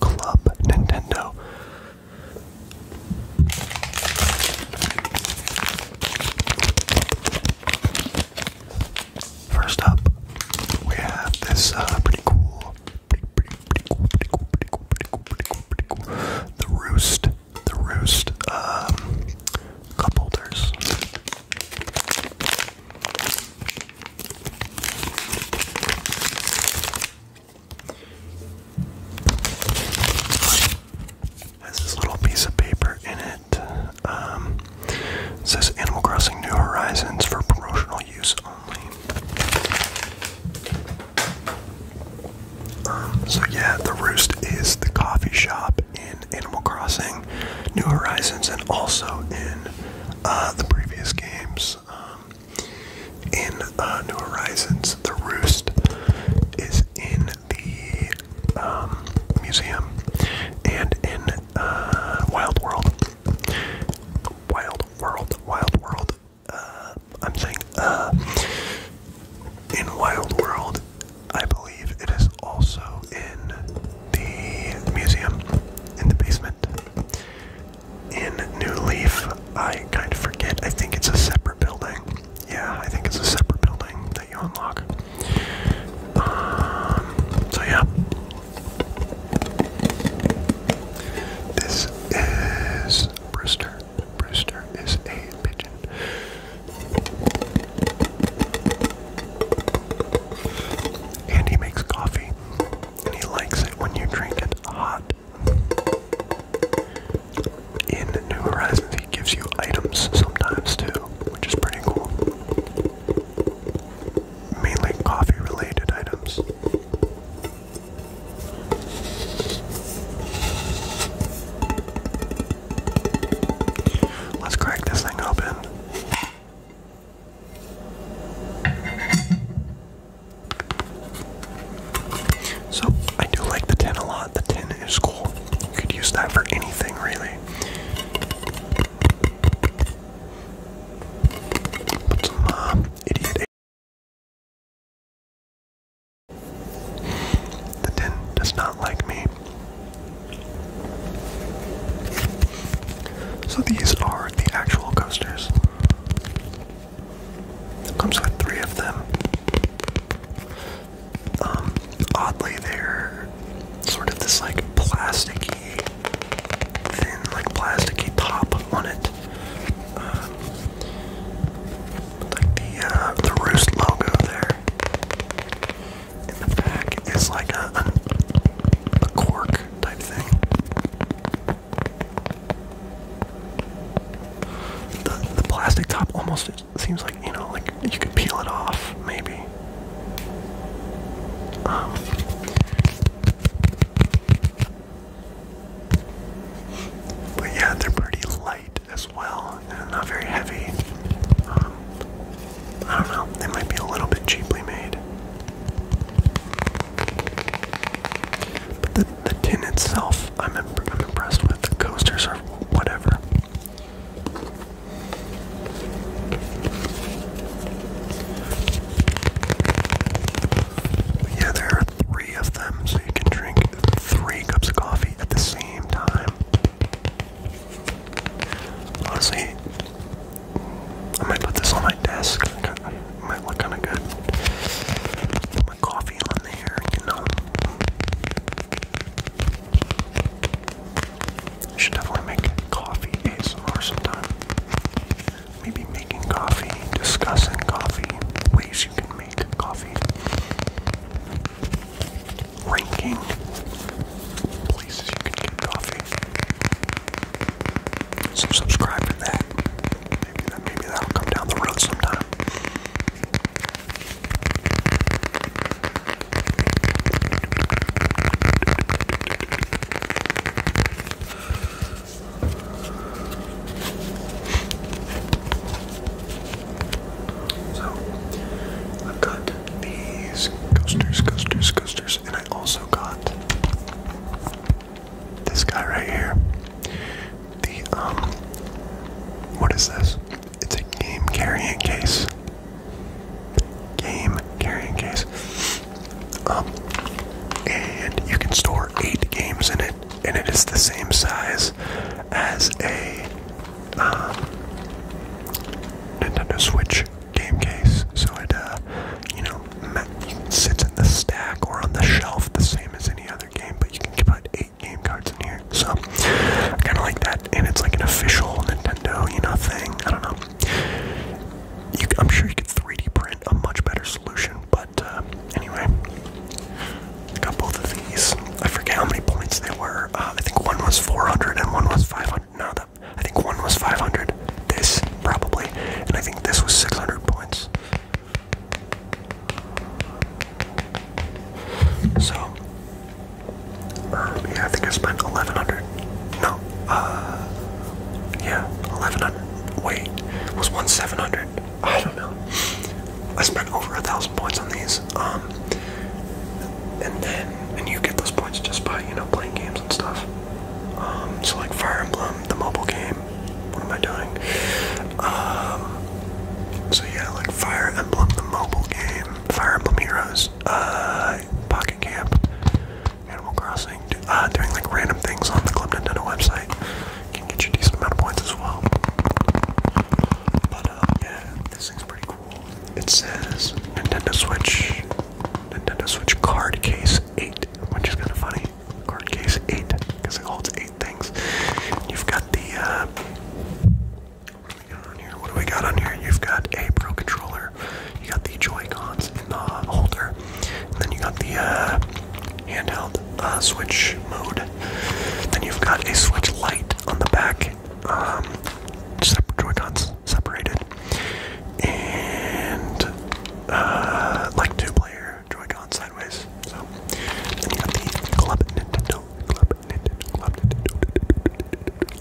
Club Nintendo. First up, we have this uh, pretty cool, pretty, pretty, pretty cool, pretty cool, pretty cool, pretty cool, pretty cool, the Roost, the Roost um, cup holders. Has this little piece of paper in it. Um, says Animal Crossing New Horizons for promotional use only. Um, so yeah, the Roost is the coffee shop in Animal Crossing New Horizons and also in uh, the previous games. Um, in uh, New Horizons, the roost is in the um, museum, and in uh, Wild World, Wild World, Wild World. Uh, I'm saying uh, in Wild World, I believe it is also in the museum in the basement in New Leaf. I kind of forget. I think it's a separate building. Yeah, I think it's a separate building that you unlock. Um, so yeah, this is Brewster. Brewster is a pigeon. And he makes coffee, and he likes it when you drink it hot. In New Horizons, he gives you items sometimes too, which is pretty cool. Mainly coffee related items. Let's crack this thing open. So I do like the 10 a lot. The 10 is cool. You could use that for anything really. Put some uh, idiot. The 10 does not like me. So these are the actual coasters. Comes with three of them. Um, oddly, they're sort of this like plasticky, thin, like plasticky top on it. Um, like the uh, the Roost logo there. In the back is like a, a cork type thing. The, the plastic top almost seems like, you know, like you could peel it off, maybe. Um, but yeah, they're pretty light as well, and not very heavy. Um, I don't know, they might be a little bit cheaply made. But the, the tin itself, I'm, I'm impressed with. The coasters or whatever. yeah, there are three of them, so you can drink three cups of coffee at the same time. Honestly, I might put this on my desk might look kind of good. Put my coffee on there, you know. should definitely make coffee ASMR sometime. Maybe making coffee, discussing coffee, ways you can make coffee, ranking places you can get coffee. So subscribe to that. Maybe that maybe that'll come down the road sometime. So i got these coasters, coasters, coasters, and I also got this guy right here. The, um, what is this? It's a game carrying case. Game carrying case. Um, and you can store eight games in it, and it is the same size as a um, Nintendo Switch game case. So it, uh, you know, sits in the stack or on the shelf the same as any other game, but you can put eight game cards in here. So I kind of like that, and it's like an official Nintendo, you know, thing. I don't know. I'm sure you could 3D print a much better solution, but uh, anyway, I got both of these. I forget how many points they were. Uh, I think one was 400 and one was 500. No, that, I think one was 500. This probably, and I think this was 600 points. So, er, yeah, I think I spent 1100 No, uh, yeah, 1100 Wait, it was one 700 I don't know. I spent over a thousand points on these. Um, and then, and you get those points just by, you know, playing games and stuff. Um, so like Fire Emblem, the mobile game, what am I doing? Um, so yeah, like Fire Emblem, the mobile game, Fire Emblem Heroes, uh, Pocket Camp, Animal Crossing, uh, doing like random things on the Nintendo website can get you a decent amount of points as well. But uh, yeah, this thing's pretty cool. It says Nintendo Switch, Nintendo Switch Card Case 8, which is kind of funny card case eight because it holds eight things. You've got the uh, what do we got on here? What do we got on here? You've got a Pro controller. You got the Joy in the holder, then you got the uh, handheld uh, Switch mode. Then you've got a Switch Lite on the back. Um, separate Joy separated, and uh, like two player your sideways. So, then you got the Club Nintendo,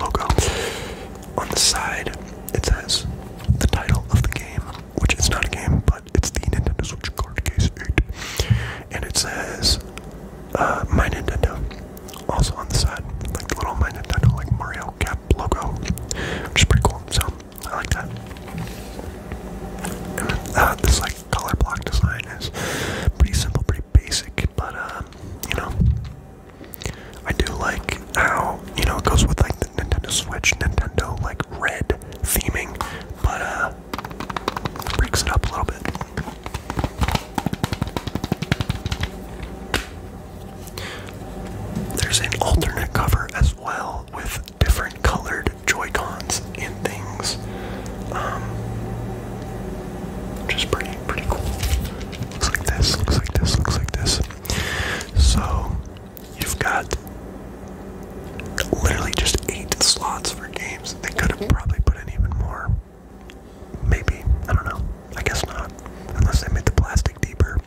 logo. On the side, it says the title of the game, which is not a game, but it's the Nintendo Switch card case 8. And it says, uh, My Nintendo. Also on the side, like the little My Nintendo, like Mario Cap logo, which is pretty cool. So, I like that. this like color block design is pretty simple, pretty basic, but um, you know, I do like how you know it goes with like the Nintendo Switch, Nintendo like red theming, but uh, breaks it up a little bit. There's an alternate cover as well with different colored Joy-Cons and things. Um, which is pretty, pretty cool. Looks like this, looks like this, looks like this. So, you've got literally just eight slots for games. They could have probably put in even more. Maybe. I don't know. I guess not. Unless they made the plastic deeper.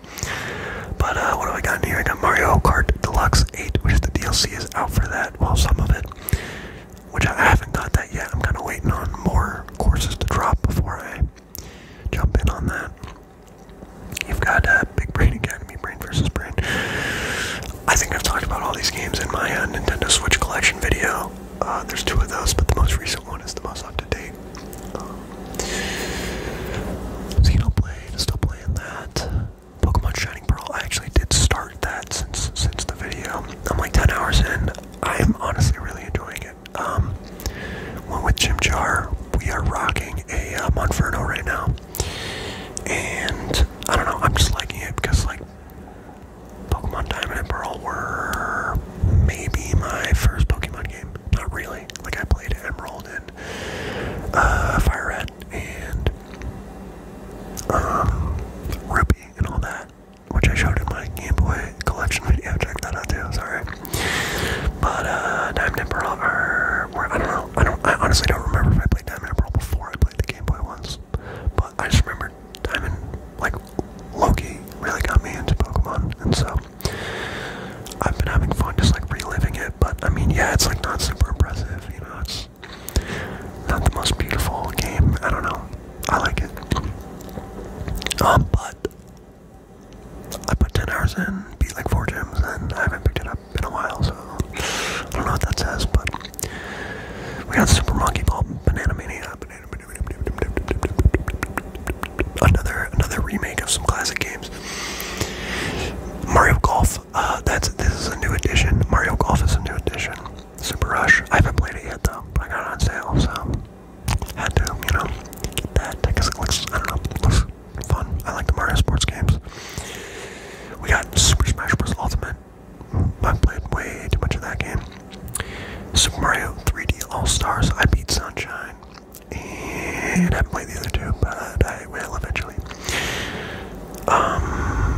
But uh, what do I got in here? I got Mario Kart Deluxe 8, which is the DLC out for that. Well, some of it, which I haven't got that yet. I'm kind of waiting on more courses to drop before I jump in on that. You've got uh, Big Brain Academy, Brain versus Brain. I think I've talked about all these games in my uh, Nintendo Switch collection video. Uh, there's two of those, but the most recent one is the most up to date. Um, Xenoblade, still playing that. Pokemon Shining Pearl. I actually did start that since since the video. I'm like 10 hours in. I'm honestly really enjoying it. Um, went with Chimchar. We are rocking a uh, Monferno right now, and I don't know. I'm just liking it because like Pokemon Diamond and Pearl were maybe my first Pokemon game. Not really. Like I played Emerald and uh, Fire Red, and um, Ruby and all that, which I showed in my Game Boy collection video. Check that out too. Sorry, but uh, Diamond and Pearl I don't know. I don't. I honestly don't remember if I played Diamond and Pearl before I played the Game Boy once, but I just remember Diamond like Loki really got me into Pokemon, and so. I've been having fun just like reliving it, but I mean, yeah, it's like not super impressive, you know. It's it's not the most beautiful game. I don't know. I like it. Um, but I put 10 hours in, beat like 4 gems, and I haven't picked it up in a while, so I don't know what that says, but we got Super Monkey Ball Banana Mania. Another another remake of some classic games. Mario Golf uh, that's this is a new edition. Mario Golf is a new edition. Super Rush. I haven't played it yet though, but I got it on sale, so had to, you know, get that because it looks, I don't know, fun. I like the Mario sports games. We got Super Smash Bros. Ultimate. Mm, I played way too much of that game. Super Mario 3D All Stars. I beat Sunshine, and I played the other two, but I will eventually. Um,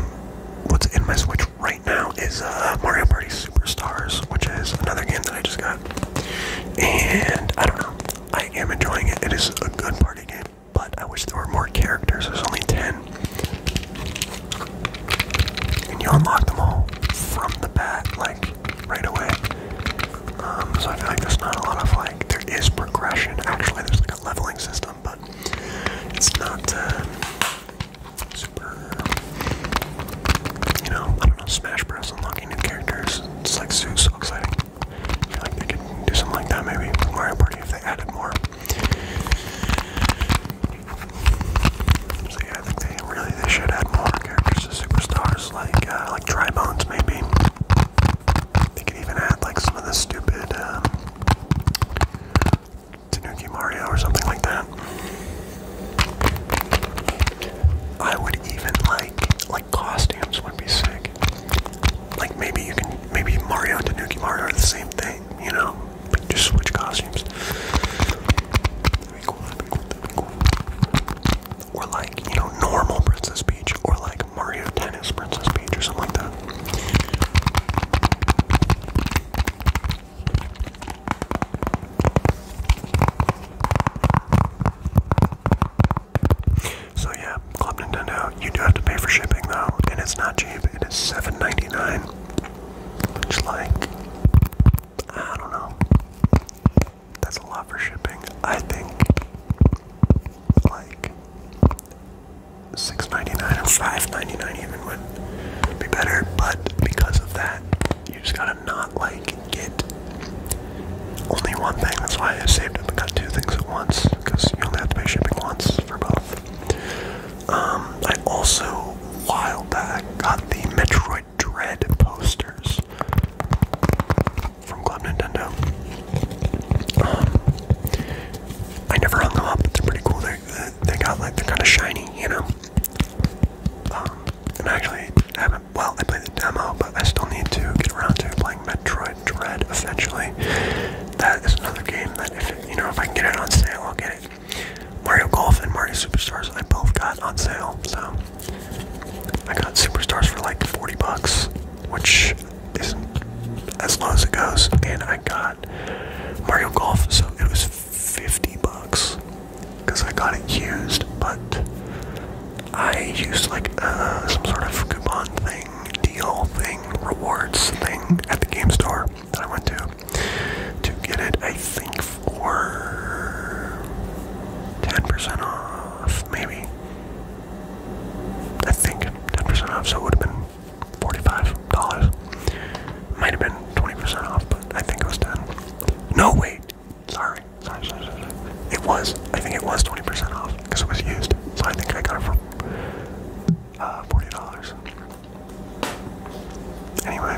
what's in my Switch right now is uh, Mario Party Superstars, which is another game that I just got. And I don't know, I am enjoying it. It is a good party game, but I wish there were more characters. There's only 10. And you unlock them all from the back, like right away. Um, so I feel like there's not a lot of like, there is progression. Actually, there's like a leveling system but it's not uh, super. You know, I don't know. Smash Bros. Unlocking new characters. It's like so, so exciting. I feel like they could do something like that maybe Mario Party if they added more. So I think they really they should add more characters to superstars like uh, like Dry Bones maybe. They could even add like some of the stupid um, Mario or something like that. I would even like like costumes would be sick. Like maybe you can maybe Mario and Tanuki Mario are the same thing, you know? just switch costumes. Or like, you know, normal Princess Peach or like Mario Tennis Princess Peach or something like that. So yeah, Club Nintendo, you do have to pay for shipping though, and it's not cheap. It is $7.99, which like, I don't know. That's a lot for shipping. I think, like, $6.99 or 5 even would be better, but because of that, you just gotta not like get only one thing. That's why I saved up and got two things at once, because you only have to pay shipping once for both. Um, I also, while back, got the Metroid Dread posters from Club Nintendo. Um, I never hung them up. but They're pretty cool. They they got like they're kind of shiny, you know. Um, and actually Well, I played the demo, but I still need to get around to playing Metroid Dread eventually. That is another game that if you know if I can get it on sale, I'll get it. Mario Golf and Mario Superstars I both got on sale, so I got Superstars for like 40 bucks, which is as low as it goes. And I got Mario Golf, so it was 50 bucks because I got it used, but I used like uh, some sort of coupon thing, deal thing, rewards thing at the game store that I went to to get it, I think, for 10% off, maybe. I think 10% off, so it would have been $45. Might have been 20% off, but I think it was 10. No, wait. Sorry. Sorry, sorry, sorry. It was. I think it was 20% off because it was used. So I think I got it for uh, $40. Anyway.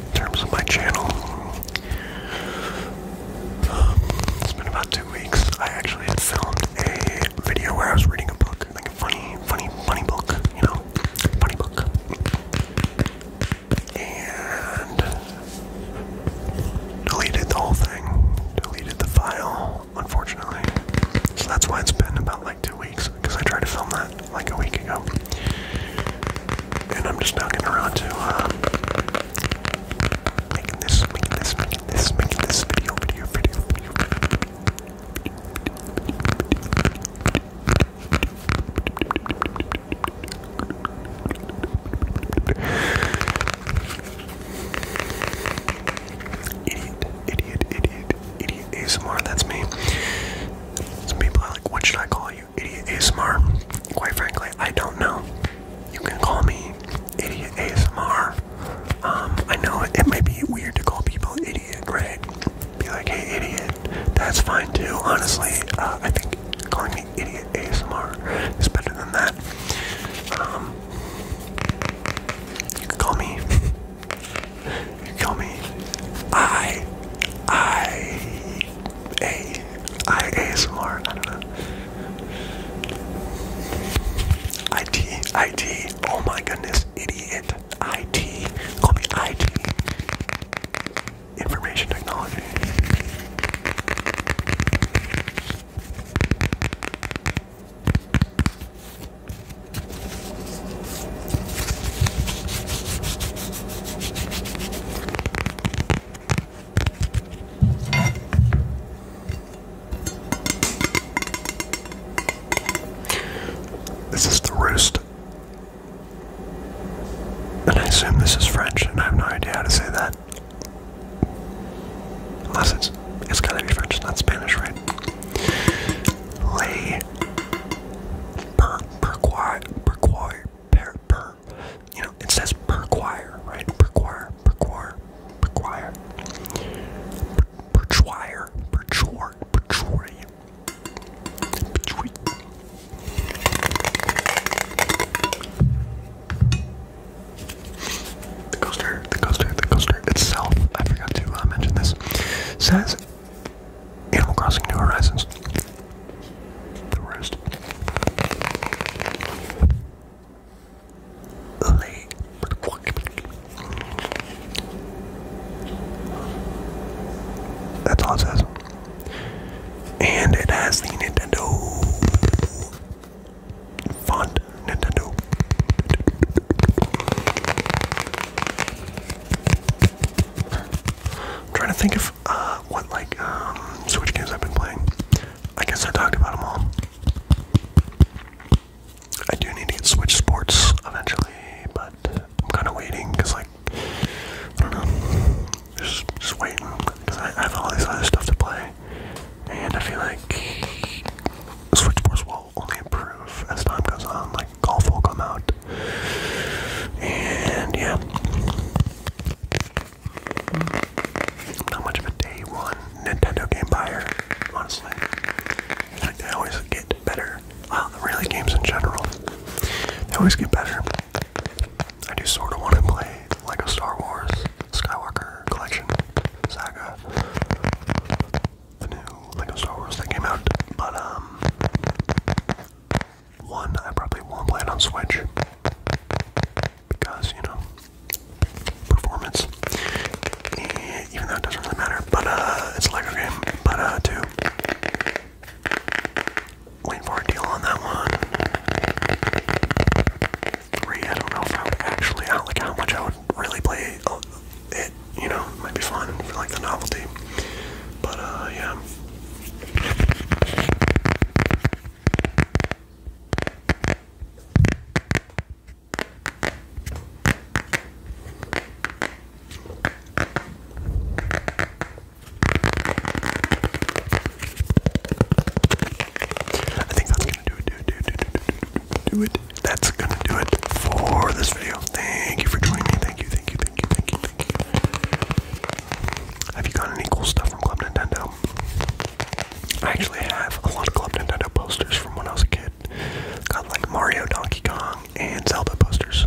In terms of my channel, um, it's been about two weeks. I actually had filmed a video where I was reading a book, like a funny, funny, funny book, you know, funny book and deleted the whole thing, deleted the file, unfortunately. So that's why it's been about like two weeks, because I tried to film that like a week ago. And I'm just now getting around to uh, making this, making this, making this, making this video, video, video, video. Idiot, idiot, idiot, idiot ASMR, that's me. Some people are like, what should I call you? Idiot ASMR. Quite frankly, I don't know. You can call me Idiot ASMR. Um, I know it, may be weird to call people idiot, right? be like, hey, idiot, that's fine too. Honestly, uh, I think calling me idiot ASMR is better than that. Um, you can call me, you call me I, I, A, I ASMR, I don't know. IT, oh my goodness, idiot, IT, call me IT information technology. This is the roost and I assume this is French, and I have no idea how to say that. Unless it's, it's gotta be French, not Spanish, right? Lay. Per, per, choir, per, per, You know, it says per right? Per choir, per choir, per choir. The coaster, the coaster, the coaster itself, I forgot to uh, mention this, says Animal Crossing New Horizons. The worst. That's all it says. And it has the Nintendo font. Nintendo. trying to think of uh, what like um, Switch games I've been playing. I guess I talked about them all. I do need to get Switch Sports eventually, but I'm kind of waiting because like I don't know. Just, just waiting because I, have all this other stuff to play, and I feel like Switch Sports will only improve as time goes on. Like golf will come out, and yeah, not much of a day one Nintendo game buyer, honestly. they always get better. Wow, the really games in general, they always get better. I do sort of want to play like a Star Wars Skywalker collection saga. The new Lego Star Wars that came out, but um, one I probably won't play it on Switch because you know performance. And eh, even though it doesn't really matter, but uh, it's a Lego game. But uh, two, Waiting for deal on that one. Three, I don't know if I would actually like how much I would really play uh, it, you know, might be fun for like the novelty. But uh, yeah. I think that's gonna do it, do it, do it, do it, do it, do it. That's gonna do it for this video. Thank you for joining me. Thank you, thank you, thank you, thank you, thank you. Have you gotten any cool stuff from Club Nintendo? I actually have a lot of Club Nintendo posters from when I was a kid. Got like Mario, Donkey Kong, and Zelda posters.